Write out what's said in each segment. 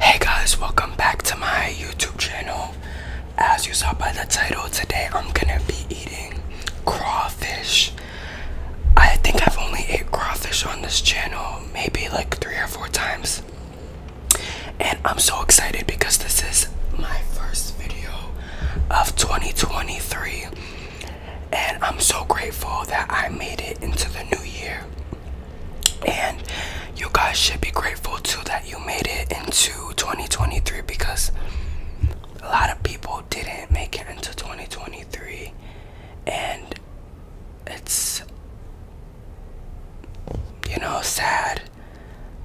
Hey guys, welcome back to my YouTube channel. As you saw by the title, today I'm gonna be eating crawfish. I think I've only ate crawfish on this channel maybe like three or four times. And I'm so excited because this is my first video of 2023. And I'm so grateful that I made it into the new year. And you guys should be grateful too that you made it into 2023 because a lot of people didn't make it into 2023. And it's, you know, sad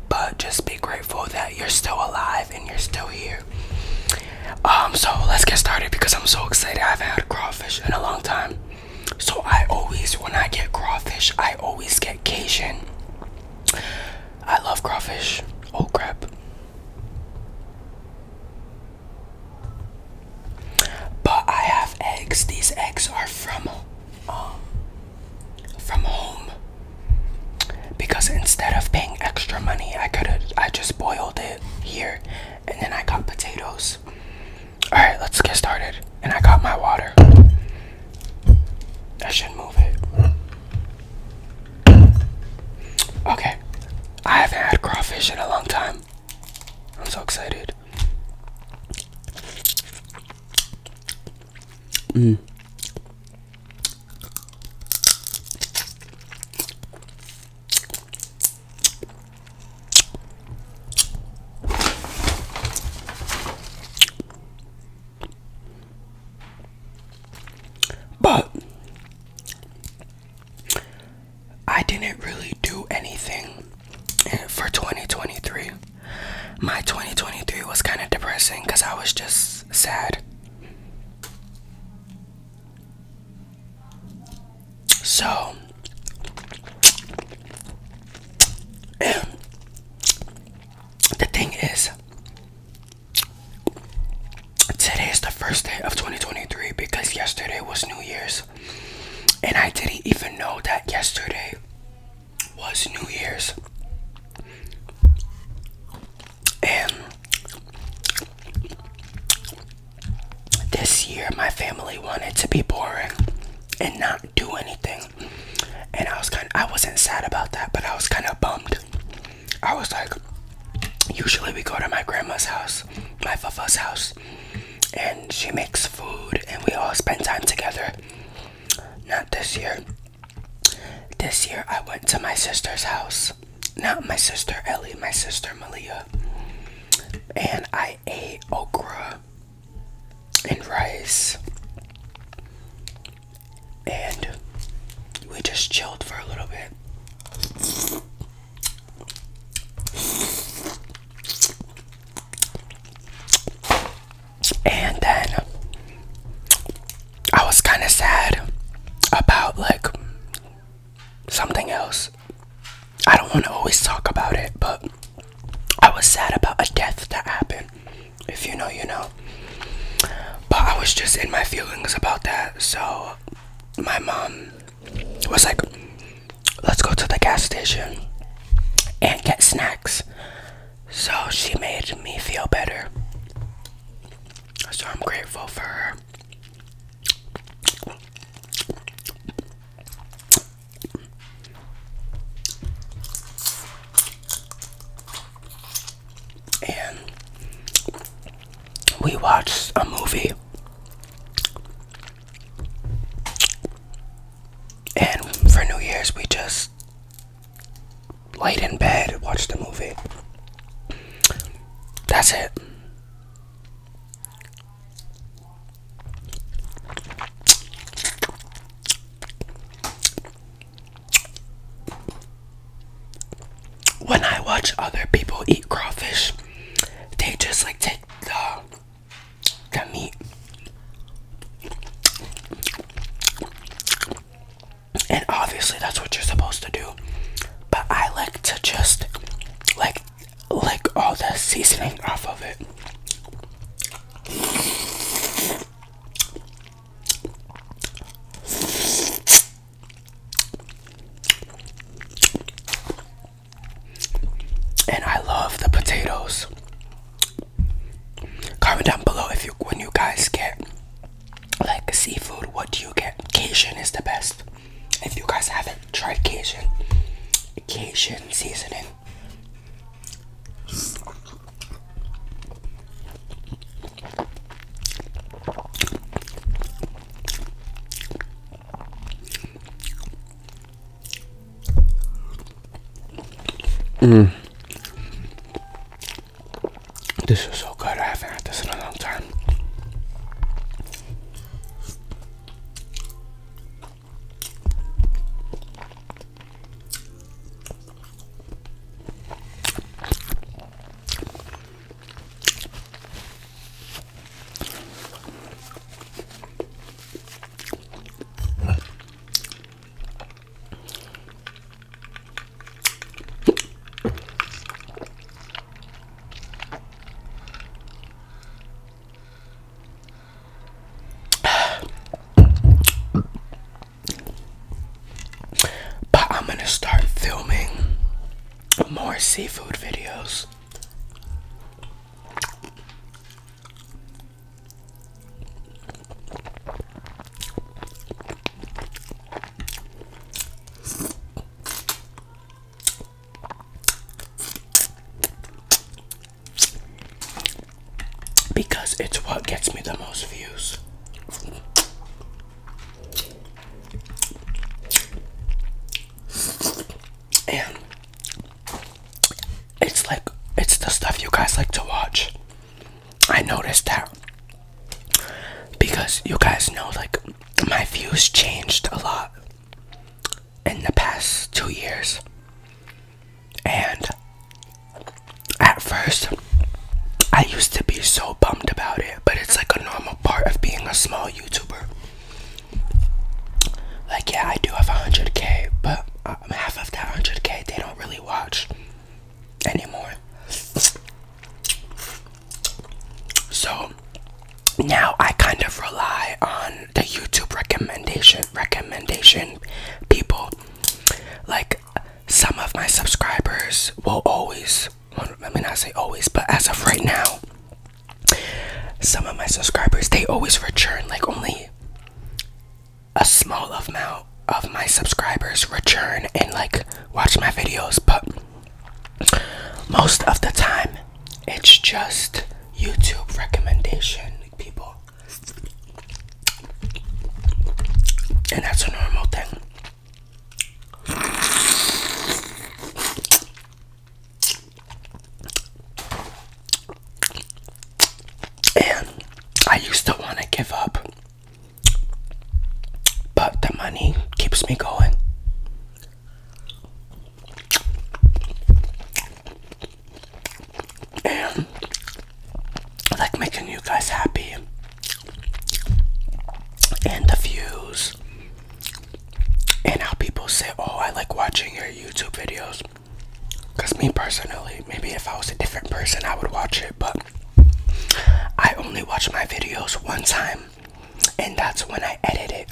but just be grateful that you're still alive and you're still here. Um, so let's get started because I'm so excited. I haven't had crawfish in a long time. So I always, when I get crawfish, I always get Cajun. I love crawfish. Oh crap. But I have eggs. These eggs are from um from home because instead of paying extra money, I could have I just boiled it here and then I got potatoes. All right, let's get started. And I got my water. I should move it. Okay. I haven't had crawfish in a long time. I'm so excited. Mm. But I didn't really do anything for 2023. My 2023 was kind of depressing because I was just sad. So, the thing is, today is the first day of 2023 because yesterday was New Year's, and I didn't even know that yesterday was New Year's. And this year, my family wanted to be boring and not do anything. And I was kind of, I wasn't sad about that, but I was kind of bummed. I was like, usually we go to my grandma's house, my fafa's house, and she makes food and we all spend time together. Not this year. This year I went to my sister's house. Not my sister Ellie, my sister Malia. And I ate okra and rice. And we just chilled for a little bit and then I was kind of sad about like something else. I don't want to always talk about it, but I was sad about a death that happened. If you know, you know. But I was just in my feelings about that, so my mom was like, let's go to the gas station and get snacks. So she made me feel better. So I'm grateful for her. And we watched a movie. And for New Year's, we just Late in bed, watch the movie. That's it. When I watch other people eat crawfish, they just like take the, the meat and obviously that's what you're supposed to do. But I like to just like lick all the seasoning off of it. And I love the potatoes. Comment down below if you when you guys get like seafood, what do you get? Cajun is the best. If you guys haven't tried Cajun, Cajun seasoning. Mm. This is so good. I haven't had this in a long time. But I'm going to start filming more seafood videos. Because it's what gets me the most views. And it's like, it's the stuff you guys like to watch. I noticed that because you guys know, like, my views changed a lot in the past two years, and at first, I used to be so bummed about it, but it's like a normal part of being a small YouTuber. Like, yeah, I do have 100k, but um, half of that 100k they don't really watch anymore. So now I kind of rely on the YouTube recommendation recommendation people. Like some of my subscribers will always let me not say always, but as of right now, some of my subscribers they always return like only a small amount of my subscribers return and like watch my videos, but most of the time it's just YouTube recommendation people. And that's a normal thing. And I used to want to give up, but the money keeps me going. And I like making you guys happy, and the views, and how people say, Oh, I like watching your YouTube videos. Because, me personally, maybe if I was a different person, I would watch it, but I only watch my videos one time, and that's when I edit it.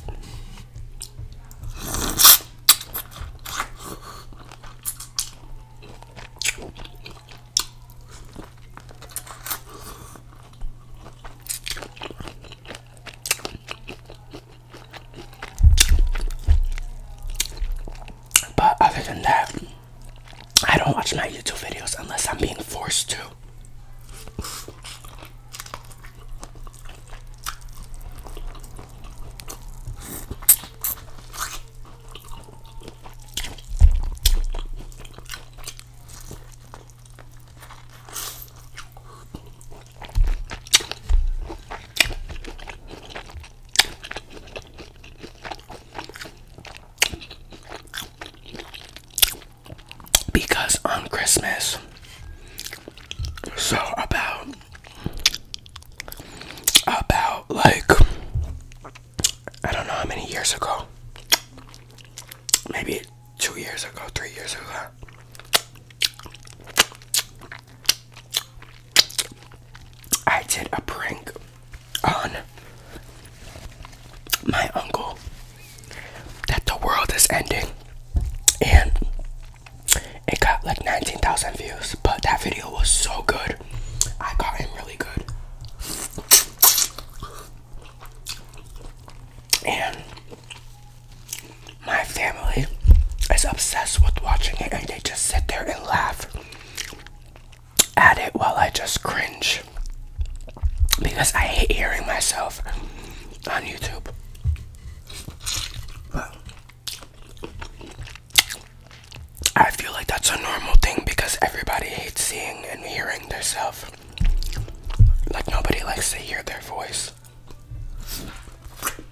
But other than that, I don't watch my YouTube videos unless I'm being forced to. Because on Christmas, so about about like I don't know how many years ago, maybe two years ago, three years ago. I did a prank on my uncle that the world is ending and it got like 19,000 views, but that video was so good. I got in really good. And my family is obsessed with watching it and they just sit there and laugh at it while I just cringe because I hate hearing myself on YouTube. But I feel like that's a normal thing because everybody hates seeing and hearing themselves. Like nobody likes to hear their voice.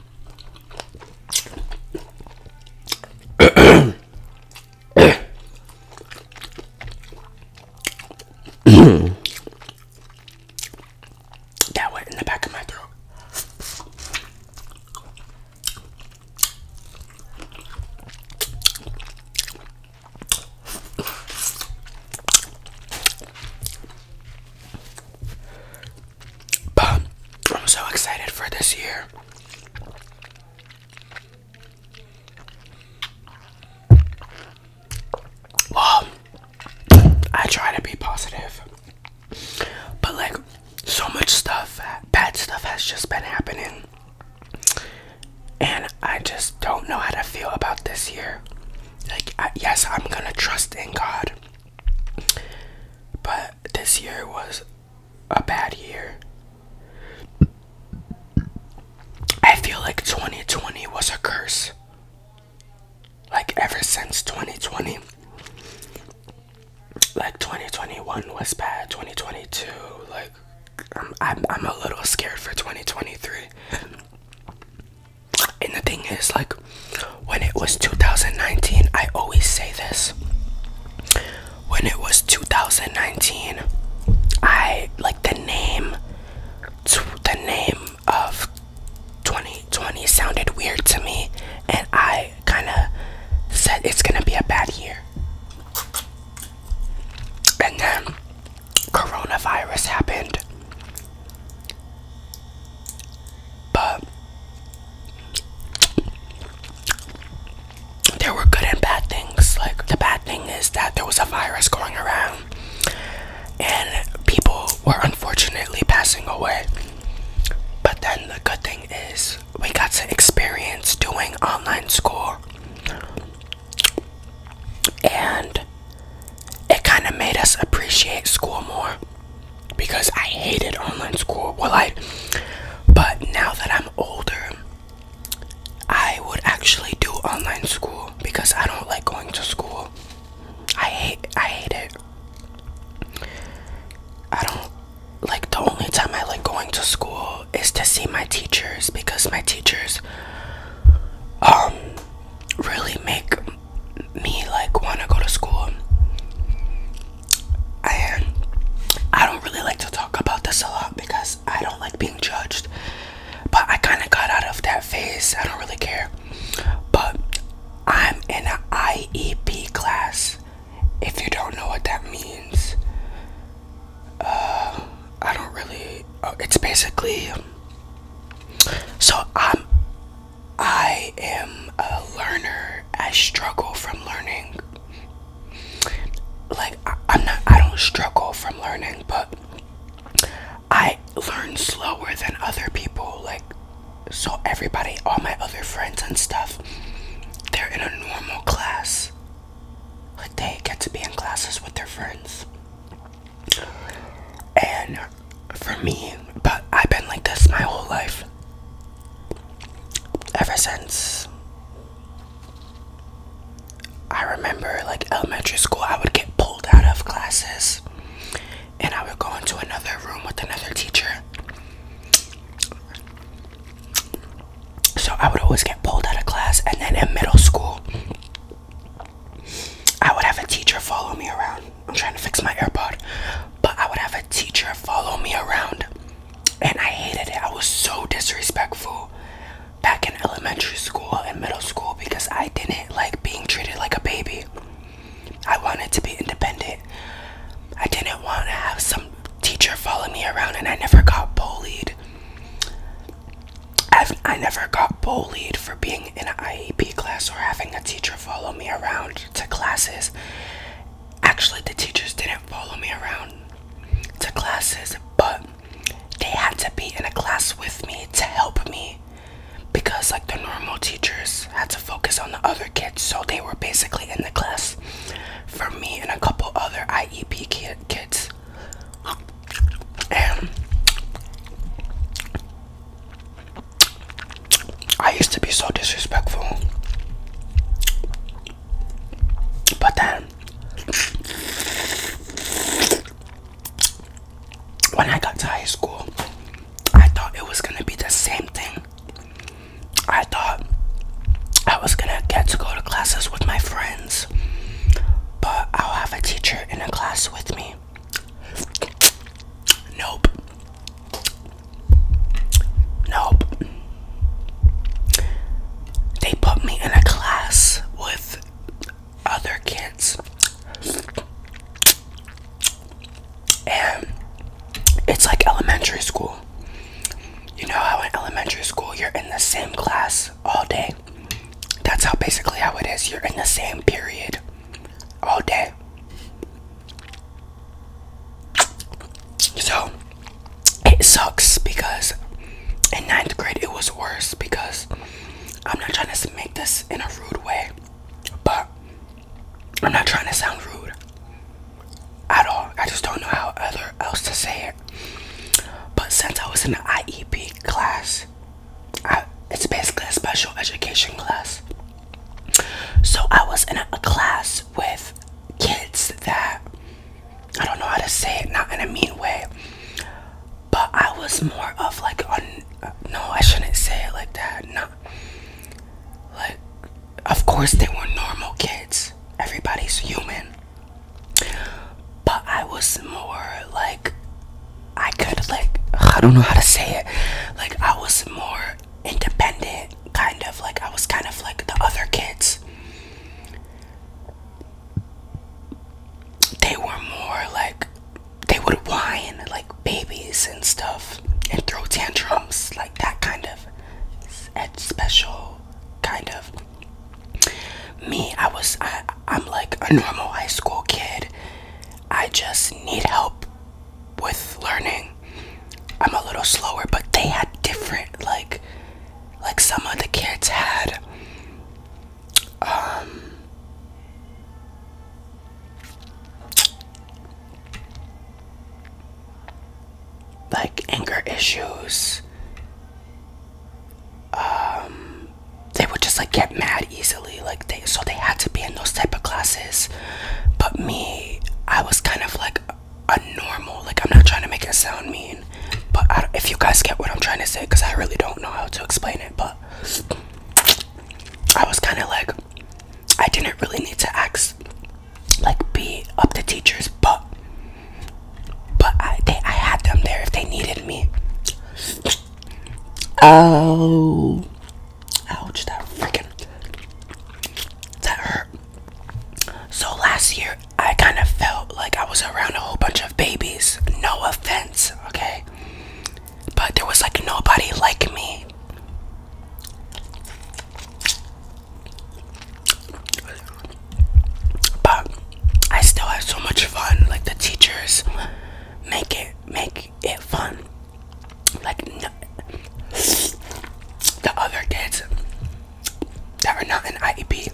that went in the back of my throat. But I'm so excited for this year. I try to be positive. But like so much stuff, bad stuff has just been happening. And I just don't know how to feel about this year. Like yes, I'm going to trust in God. But this year was a bad year. I feel like 2020 was a curse. Like ever since 2020. Like 2021 was bad, 2022 like I'm I'm, a little scared for 2023. and the thing is like when it was 2019, I always say this. When it was 2019, I like the name the name of 2020 sounded weird to me and I kind of said it's going to be a bad year. And then coronavirus happened. But there were good and bad things. Like, the bad thing is that there was a virus going around, and people were unfortunately passing away. But then the good thing is, we got to experience doing online school, and it kind of made us appreciate school more because I hated online school. Well, I, but now that I'm older, I would actually do online school because I don't like going to school. I hate, I hate it. I don't like the only time I like going to school is to see my teachers because my teachers, um, really make me like want to go to school. I don't really like to talk about this a lot because I don't like being judged. But I kind of got out of that phase. I don't really care. But I'm in an IEP class. If you don't know what that means, uh, I don't really. Uh, it's basically. So I'm I am a learner. I struggle from learning. Like I, am not I don't struggle from learning, but I learn slower than other people. Like so everybody, all my other friends and stuff, they're in a normal class. Like they get to be in classes with their friends. And for me, but I've been like this my whole life ever since I remember like elementary school, I would get pulled out of classes and I would go into another room with another teacher. So I would always get pulled out of class, and then in middle school, I would have a teacher follow me around. I'm trying to fix my AirPod. But I would have a teacher follow me around, and I hated it. I was so disrespectful back in elementary school and middle school because I didn't like being treated like a baby. I wanted to be independent. I didn't want to have some teacher follow me around, and I never got bullied. i I never got bullied for being in an IEP class or having a teacher follow me around to classes actually the teachers didn't follow me around to classes, but they had to be in a class with me to help me because like the normal teachers had to focus on the other kids, so they were basically in the class for me and a couple other IEP kid kids. I used to be so disrespectful, but then when I got to high school, I thought it was gonna be the same thing. I thought I was gonna get to go to classes with my friends, but I'll have a teacher in a class with me. Nope, Nope. They put me in a class with other kids. And it's like elementary school. You know how in elementary school you're in the same class all day? That's how basically how it is. You're in the same period all day. So it sucks because in ninth grade it was worse because I'm not trying to make this in a rude way, but I'm not trying to sound rude at all. I just don't know how other else to say it. But since I was in the IEP class, it's basically a special education class. So I was in a class with kids that I don't know how to say it, not in a mean way, but I was more of like on. No, I shouldn't say it like that. Not like, of course they were normal kids. Everybody's human, but I was more like I could like I don't know how to say it. Like I was more independent, kind of like I was kind of like the other kids. They were more like they would whine like babies and stuff and throw tantrums, like that kind of special kind of me. I was I, I'm like a normal high school kid. I just need help with learning. I'm a little slower, but they had different like like some of the kids had um like anger issues. Um they would just like get mad easily. Like so they had to be in those type of classes but me i was kind of like a normal like i'm not trying to make it sound mean but I, if you guys get what i'm trying to say because i really don't know how to explain it but i was kind of like i didn't really need to ask like be up to teachers but but i they i had them there if they needed me oh Ouch, that freaking. That hurt. So last year, I kind of felt like I was around a whole bunch of babies. No offense, okay? But there was like nobody like me. But I still had so much fun. Like the teachers make it make it fun like the other kids that are not in IEP,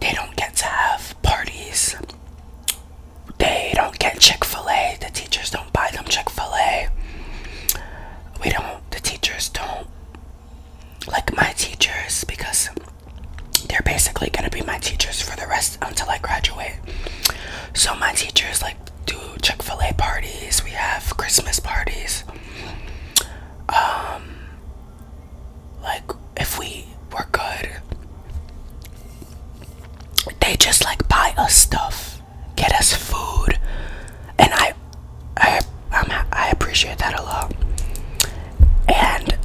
they don't get to have parties. They don't get Chick fil A. The teachers don't buy them Chick fil A. We don't, the teachers don't. Like my teachers, because they're basically gonna be my teachers for the rest until I graduate. So my teachers, like do Chick-fil-A parties, we have Christmas parties. Um, like if we were good they just like buy us stuff, get us food, and I I i I appreciate that a lot. And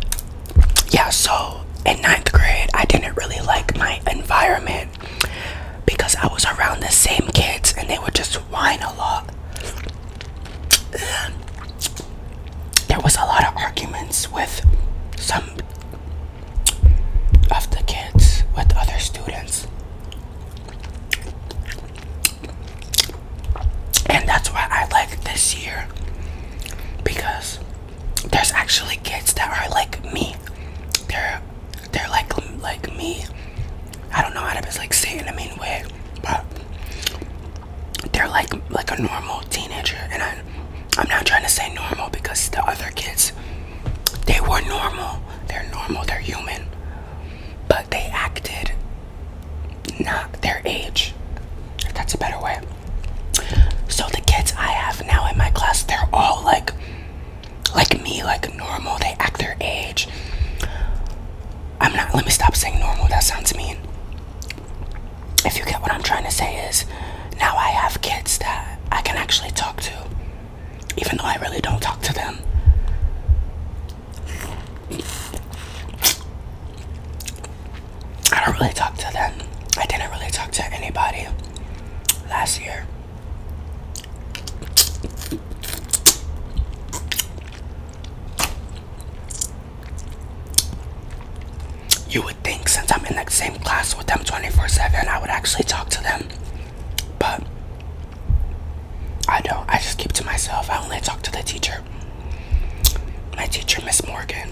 yeah, so in ninth grade, I didn't really like my environment because I was around the same kids and they would just whine a lot. There was a lot of arguments with some of the kids, with other students. And that's why I like this year because there's actually kids that are like me. They're they're like like me. I don't know how to like say it in a mean way, but they're like like a normal teenager, and I I'm not trying to say normal because the other kids they were normal. They're normal. They're human, but they acted not their age. If that's a better way. So the kids I have now in my class, they're all like like me, like normal. They act their age. I'm not, let me stop saying normal. That sounds mean. If you get what I'm trying to say, is now I have kids that I can actually talk to, even though I really don't talk to them. I don't really talk to them. I didn't really talk to anybody last year. You would think since I'm in that same class with them 24 7, I would actually talk to them. But I don't. I just keep to myself. I only talk to the teacher. My teacher, Miss Morgan.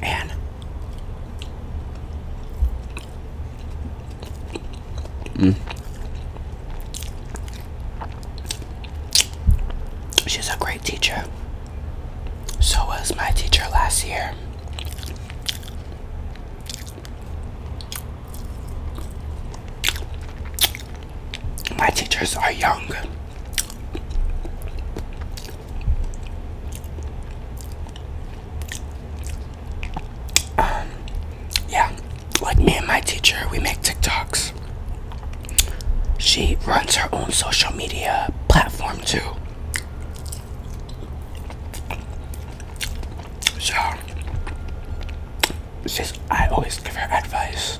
And Mm. She's a great teacher. So was my teacher last year. My teachers are young. Um, yeah, like me and my teacher, we make TikToks. She runs her own social media platform too. So, she's, I always give her advice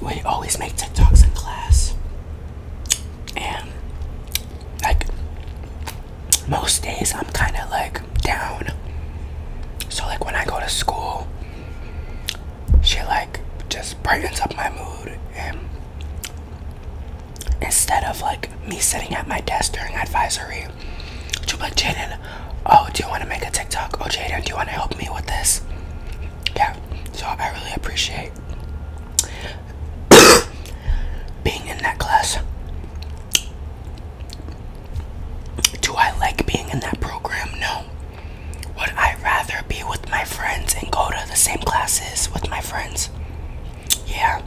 we always make TikToks in class, and like most days, I'm kind of like down. So like when I go to school, she like just brightens up my mood, and instead of like me sitting at my desk during advisory, she'll be like, Jaden, oh, do you want to make a TikTok? Oh, Jaden, do you want to help me with this? yeah, so I really appreciate being in that class. Do I like being in that program? No. Would I rather be with my friends and go to the same classes with my friends? Yeah.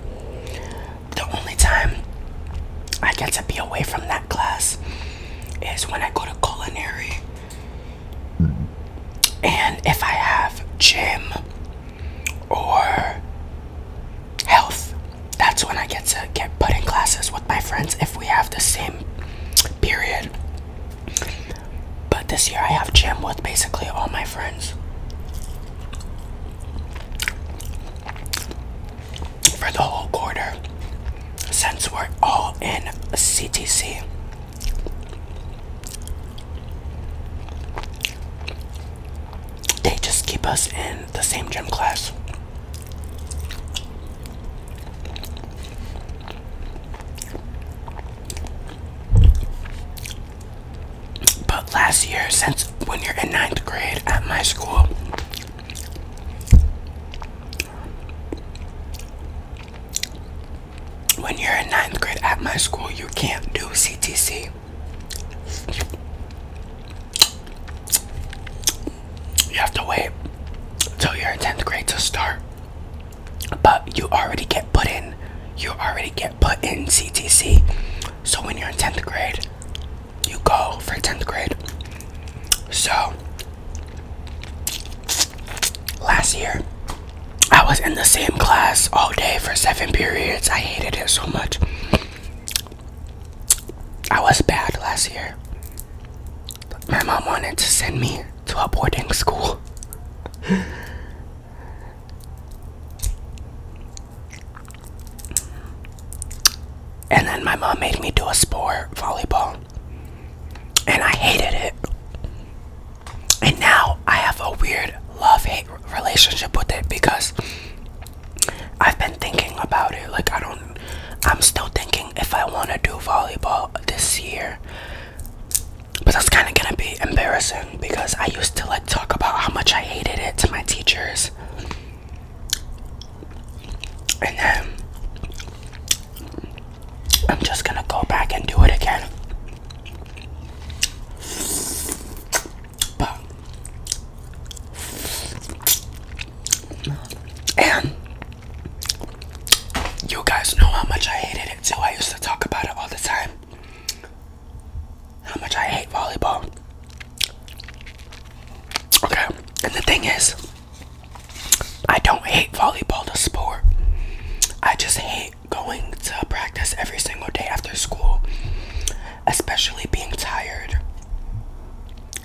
The only time I get to be away from that class is when I go to culinary and if I have gym or health, that's when I get to get put in classes with my friends if we have the same period. But this year I have gym with basically all my friends. For the whole quarter, since we're all in CTC, they just keep us in the same gym class. But last year, since when you're in ninth grade at my school, when you're in ninth grade at my school, you can't do CTC. You have to wait until you're in 10th grade to start. But you already get put in. You already get put in CTC. So when you're in 10th grade, you go for 10th grade. So last year I was in the same class all day for seven periods. I hated it so much. I was bad last year. My mom wanted to send me to a boarding school. and then my mom made me do a sport, volleyball and I hated it. And now I have a weird love hate relationship with it because I've been thinking about it. Like, I don't, I'm still thinking if I want to do volleyball this year. But that's kind of going to be embarrassing because I used to like talk about how much I hated it to my teachers. And then I'm just gonna go back and do it again. But you guys know how much I hated it too. I used to talk about it all the time. How much I hate volleyball. Okay, and the thing is, I don't hate volleyball, the sport. I just hate going to practice every single day after school, especially being tired.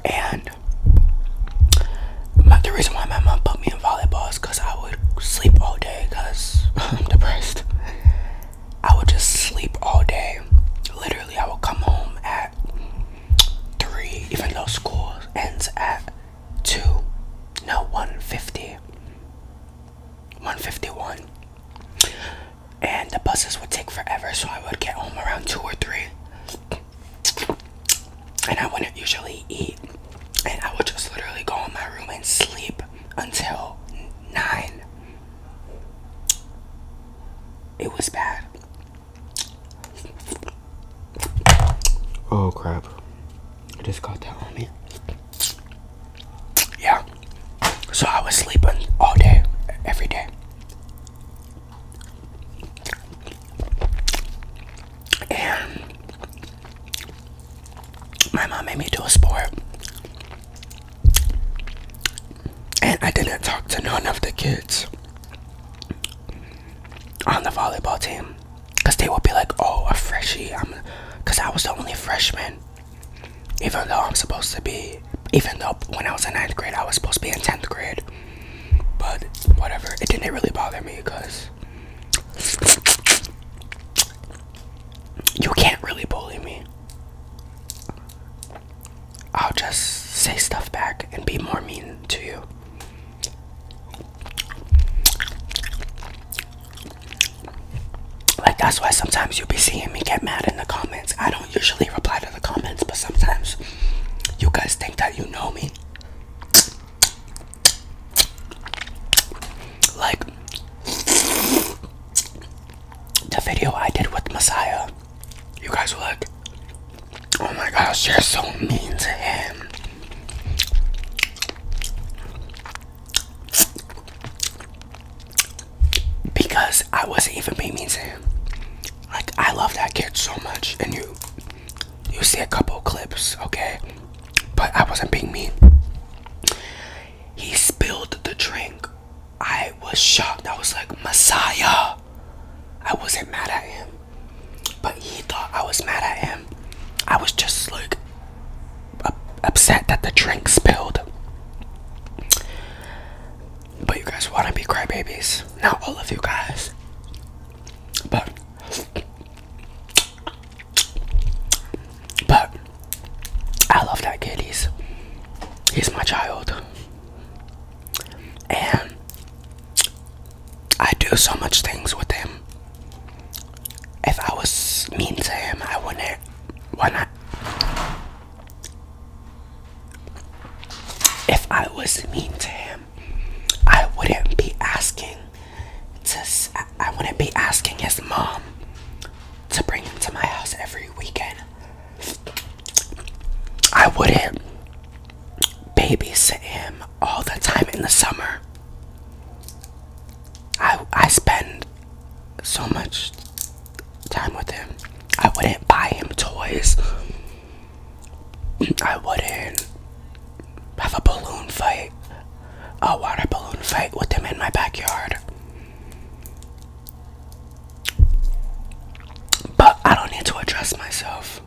And the reason why my mom put me in volleyball is because I would sleep all day because I'm depressed. I would just sleep all day. Literally, I would come home at 3, even though school ends at two, no, 150, 151. And the buses would take forever, so I would get home around two or three. And I wouldn't usually eat, and I would just literally go in my room and sleep until nine. It was bad. Oh crap. I just got that on me. Yeah. So I was sleeping all day, every day. And my mom made me do a sport. And I didn't talk to none of the kids on the volleyball team. Cause they will be like, oh, a freshie. I'm, cause I was the only freshman. Even though I'm supposed to be, even though when I was in ninth grade, I was supposed to be in tenth grade. But whatever, it didn't really bother me, cause you can't really bully me. I'll just say stuff back and be more mean to you. Like, that's why sometimes you'll be seeing me get mad in the comments. I don't usually reply to the comments, but sometimes you guys think that you know me. Like, the video I did with Messiah, you guys were like, Oh my gosh, you're so mean to him. Because I wasn't even being mean to him. Like I love that kid so much, and you, you see a couple clips, okay? But I wasn't being mean. He spilled the drink. I was shocked. I was like, Messiah. I wasn't mad at him. But he thought I was mad at him. I was just like upset that the drink spilled. But you guys want to be crybabies. Not all of you guys. But. But. I love that kid. He's, he's my child. And I do so much things with him. If I was mean to him, I wouldn't. Why not? If I was mean to him, I wouldn't be asking to. I wouldn't be asking his mom to bring him to my house every weekend. I wouldn't babysit him all the time in the summer. I I spend so much time with him. I wouldn't buy him toys. I wouldn't have a balloon fight, a water balloon fight with him in my backyard. But I don't need to address myself.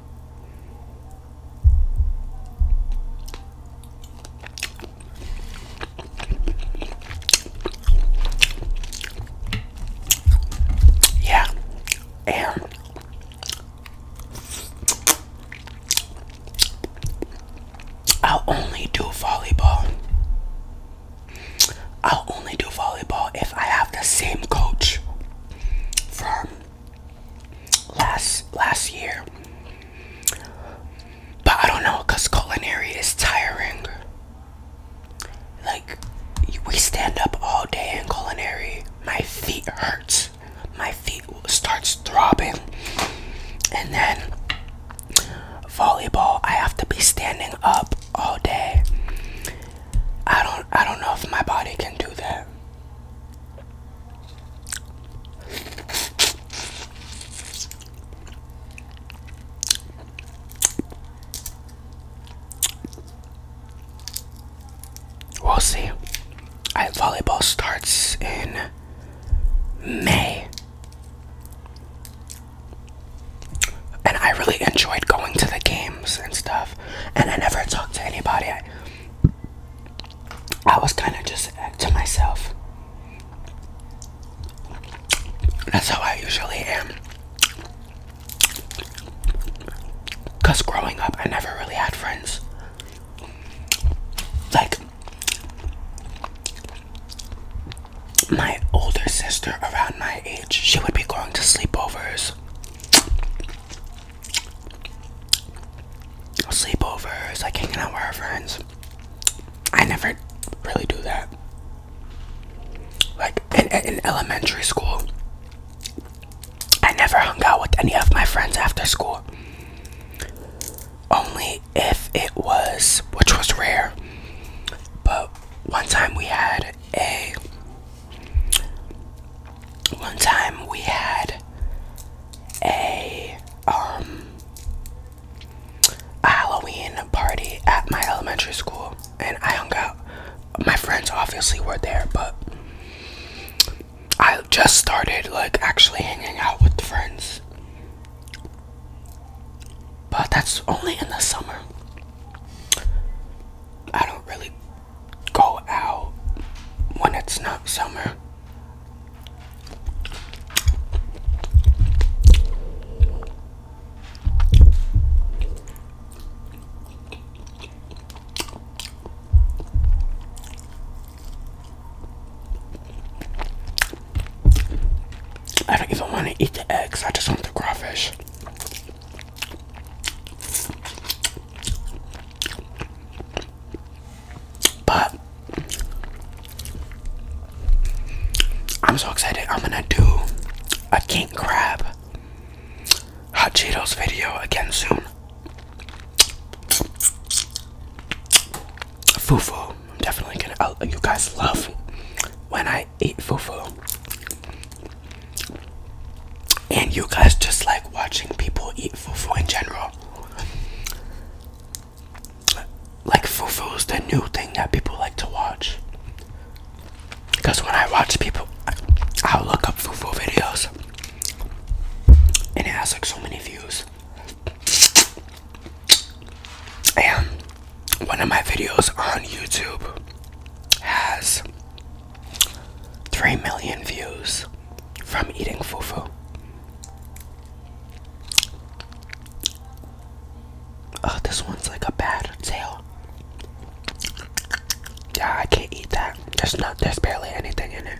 Yeah, air. I'll only do volleyball. I'll only do volleyball if I have the same coach for last last year. But I don't know, cause culinary is tiring. Like we stand up all day in culinary. My feet hurts. My feet starts throbbing. And then volleyball, I have to be standing up all day. I don't I don't know if my body can do that. We'll see. I volleyball starts in May. And I really enjoyed going to the games and stuff. And I never talked to anybody. I was kind of just to myself. That's how I usually am. Because growing up, I never really had friends. Like, my older sister around my age, she would be going to sleepovers sleepovers, like hanging out with our friends. I never really do that. Like in, in elementary school, I never hung out with any of my friends after school. Only if it was, which was rare. But one time we had a one time we had a um Halloween party at my elementary school and I hung out. My friends obviously were there, but I just started like actually hanging out with friends. But that's only in the summer. I don't really go out when it's not summer. I don't even want to eat the eggs, I just want the crawfish. But I'm so excited. I'm gonna do a king crab hot Cheetos video again soon. Fufu. I'm definitely gonna. Uh, you guys love when I eat fufu and you guys just like watching people eat fufu in general. Like fufu is the new thing that people like to watch. Cause when I watch people, I'll look up fufu videos, and it has like so many views. And one of my videos on YouTube has 3 million views from eating fufu. Oh, this one's like a bad tail. Yeah, I can't eat that. There's not there's barely anything in it.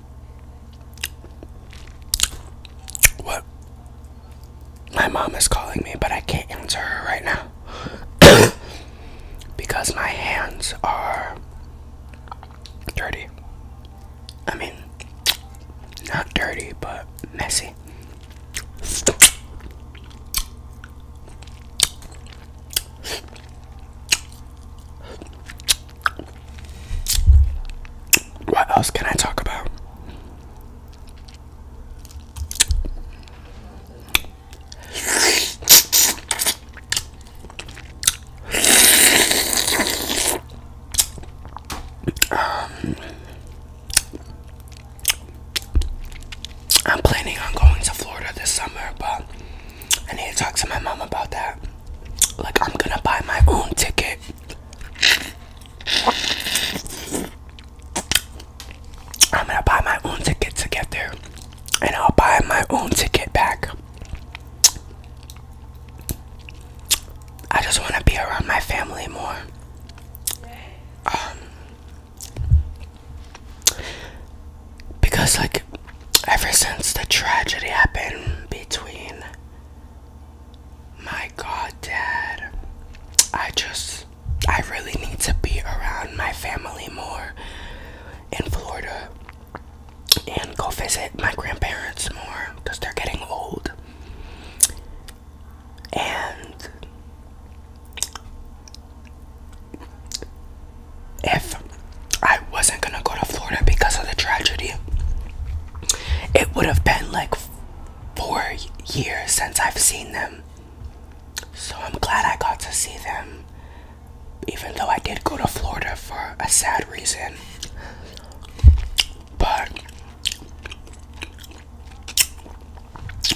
What? My mom is calling me, but I can't answer her right now because my hands are dirty. I mean, not dirty, but messy. What else can I talk about? Um, I'm planning on going to Florida this summer, but I need to talk to my mom about that. Like, I'm gonna buy my own ticket. I'm gonna buy my own ticket to get there, and I'll buy my own ticket back. I just want to be around my family more. Um, because, like, ever since the tragedy happened between my God, Dad. I just, I really need to be around my family more in Florida and go visit my grandparents more because they're getting old. And if I wasn't gonna go to Florida because of the tragedy, it would have been like four years since I've seen them. So I'm glad I got to see them, even though I did go to Florida for a sad reason. But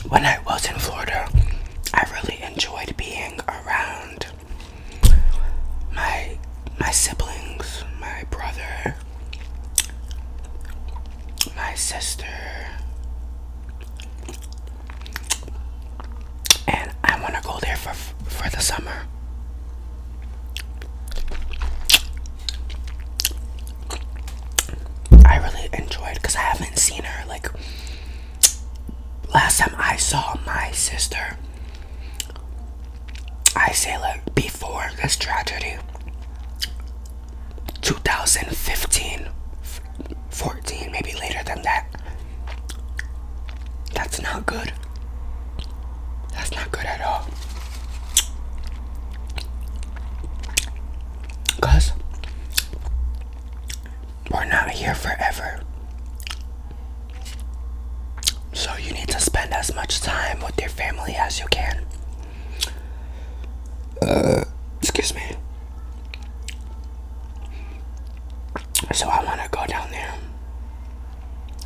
when I was in Florida, I really enjoyed being around my my siblings, my brother my sister. And I want to go there for for the summer. I really enjoyed cuz I haven't seen her like last time I saw my sister I say, like, before this tragedy, 2015, 14, maybe later than that. That's not good. That's not good at all. Because we're not here forever. So you need to spend as much time with your family as you can. Uh, excuse me. So I want to go down there.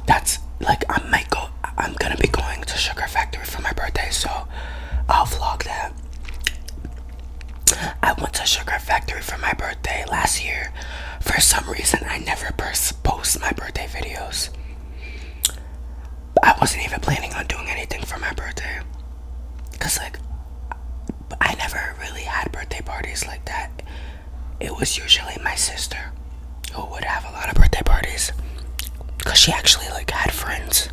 That's like I might go. I'm gonna be going to Sugar Factory for my birthday, so I'll vlog that. I went to Sugar Factory for my birthday last year. For some reason, I never post my birthday videos. I wasn't even planning on doing anything for my birthday. Cause like I never really had birthday parties like that. It was usually my sister who would have a lot of birthday parties. Cause she actually like had friends.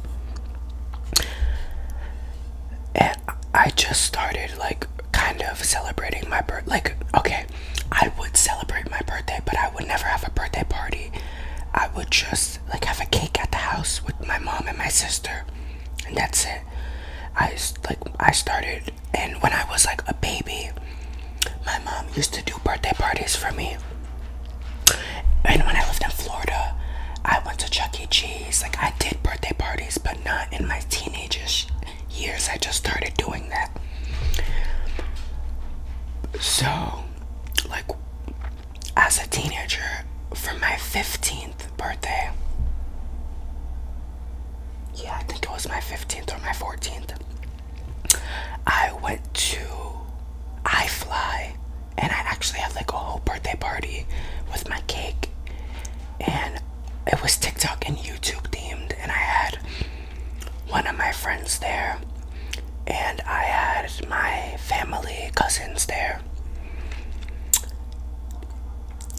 And I just started like kind of celebrating my birth like okay, I would celebrate my birthday, but I would never have a birthday party. I would just like have a cake at the house with my mom and my sister, and that's it. I like I started, and when I was like a baby, my mom used to do birthday parties for me. And when I lived in Florida, I went to Chuck E. Cheese. Like I did birthday parties, but not in my teenageish years I just started doing that. So, like, as a teenager, for my 15th birthday, yeah, I think it was my 15th or my 14th, I went to I Fly, and I actually had like a whole birthday party with my cake, and it was TikTok and YouTube themed, and I had one of my friends there, and I had my family, cousins there.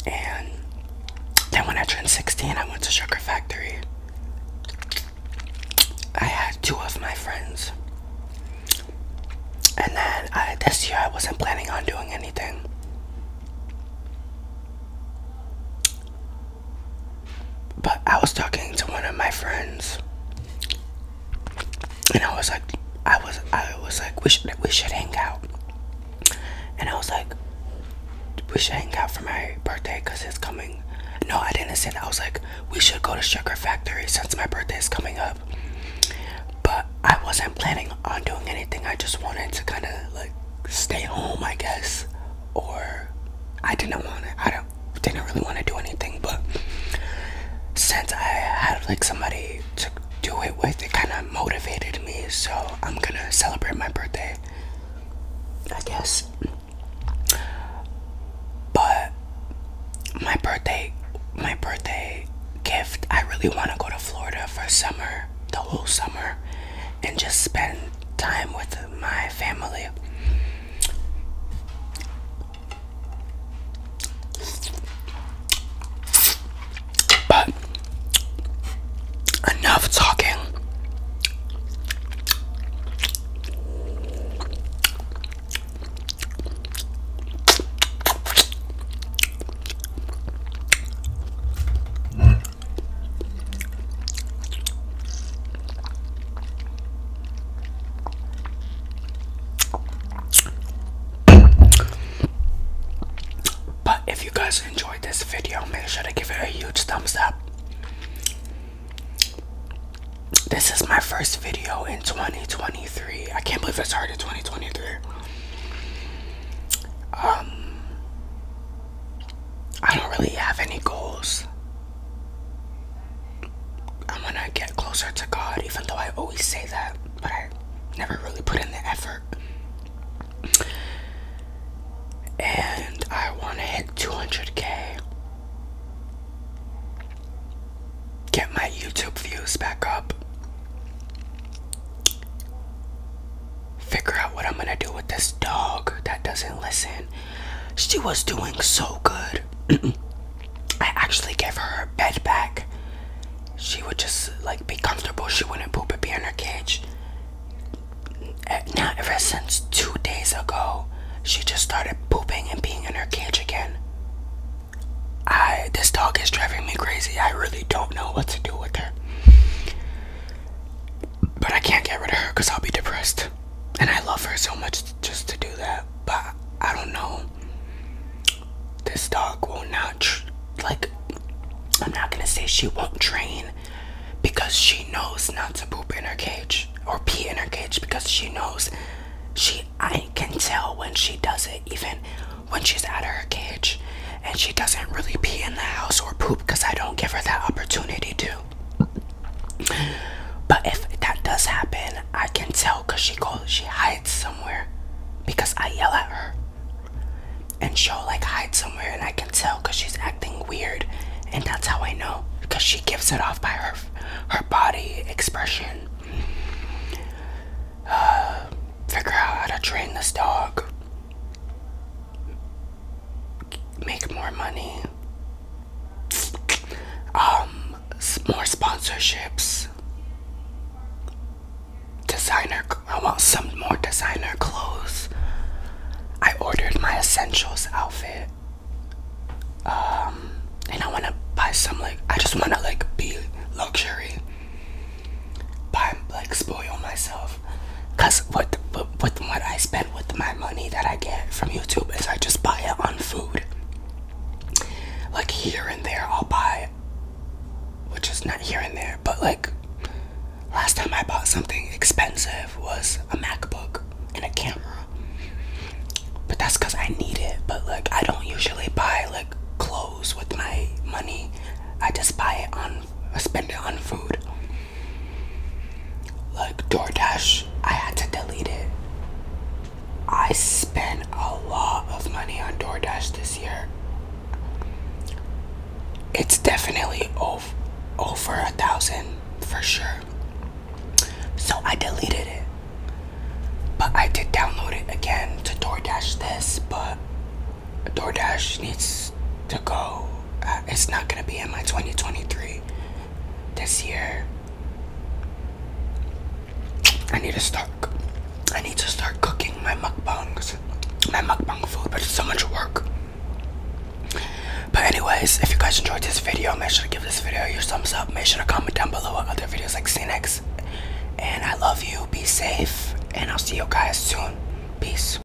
And then when I turned 16, I went to Sugar Factory. I had two of my friends. And then I, this year I wasn't planning on doing anything. But I was talking to one of my friends, and I was like, I was, I was like, we should, we should hang out. And I was like, we should hang out for my birthday because it's coming. No, I didn't say that. I was like, we should go to Sugar Factory since my birthday is coming up. But I wasn't planning on doing anything. I just wanted to kind of like stay home, I guess, or I didn't want to. I don't, didn't really want to do anything, but since I had like somebody to do it with, it kind of motivated me. So I'm gonna celebrate my birthday, I guess. But my birthday, my birthday gift, I really want to go to Florida for summer, the whole summer, and just spend time with my family. But enough talking. But if you guys enjoyed this video, make sure to give it a huge thumbs up. This is my first video in 2023. I can't believe I started 2023. Um I don't really have any goals. I am going to get closer to God, even though I always say that, but I never really put in the effort. And I want to hit 200k. Get my YouTube views back up figure out what I'm gonna do with this dog that doesn't listen. She was doing so good. I actually gave her her bed back. She would just like be comfortable. She wouldn't poop and be in her cage. Eh, now, ever since two days ago, she just started pooping and being in her cage again. I this dog is driving me crazy. I really don't know what to do with her. But I can't get rid of her because I'll be depressed. And I love her so much just to do that. But I don't know. This dog will not, like, I'm not gonna say she won't train because she knows not to poop in her cage or pee in her cage because she knows she, I can tell when she does it, even when she's out of her cage and she doesn't really pee in the house or poop because I don't give her that opportunity to. But if that does happen, I can tell because she goes, she hides somewhere because I yell at her. And she'll like hide somewhere, and I can tell because she's acting weird, and that's how I know because she gives it off by her her body expression. Uh, figure out how to train this dog make more money, um, more sponsorships, designer. I want some more designer clothes. I ordered my essentials outfit, um, and I want to buy some like. I just want to like be luxury, buy like spoil myself because what, what, with what I spend with my money that I get from YouTube is I just buy it on food. Like here and there, I'll buy, which is not here and there, but like last time I bought something expensive was a MacBook and a camera. But that's because I need it. But like, I don't usually buy like clothes with my money, I just buy it on, spend it on food. Like DoorDash, I had to delete it. I spent a lot of money on DoorDash this year. It's definitely over, over a thousand for sure. So I deleted it. But I did download it again to DoorDash this, but DoorDash needs to go. Uh, it's not gonna be in my 2023 this year. I need to start. I need to start cooking my mukbangs, my mukbang food, but it's so much work. But anyways, if you guys enjoyed this video, make sure to give this video your thumbs up. Make sure to comment down below what other videos like see next. And I love you. Be safe, and I'll see you guys soon. Peace.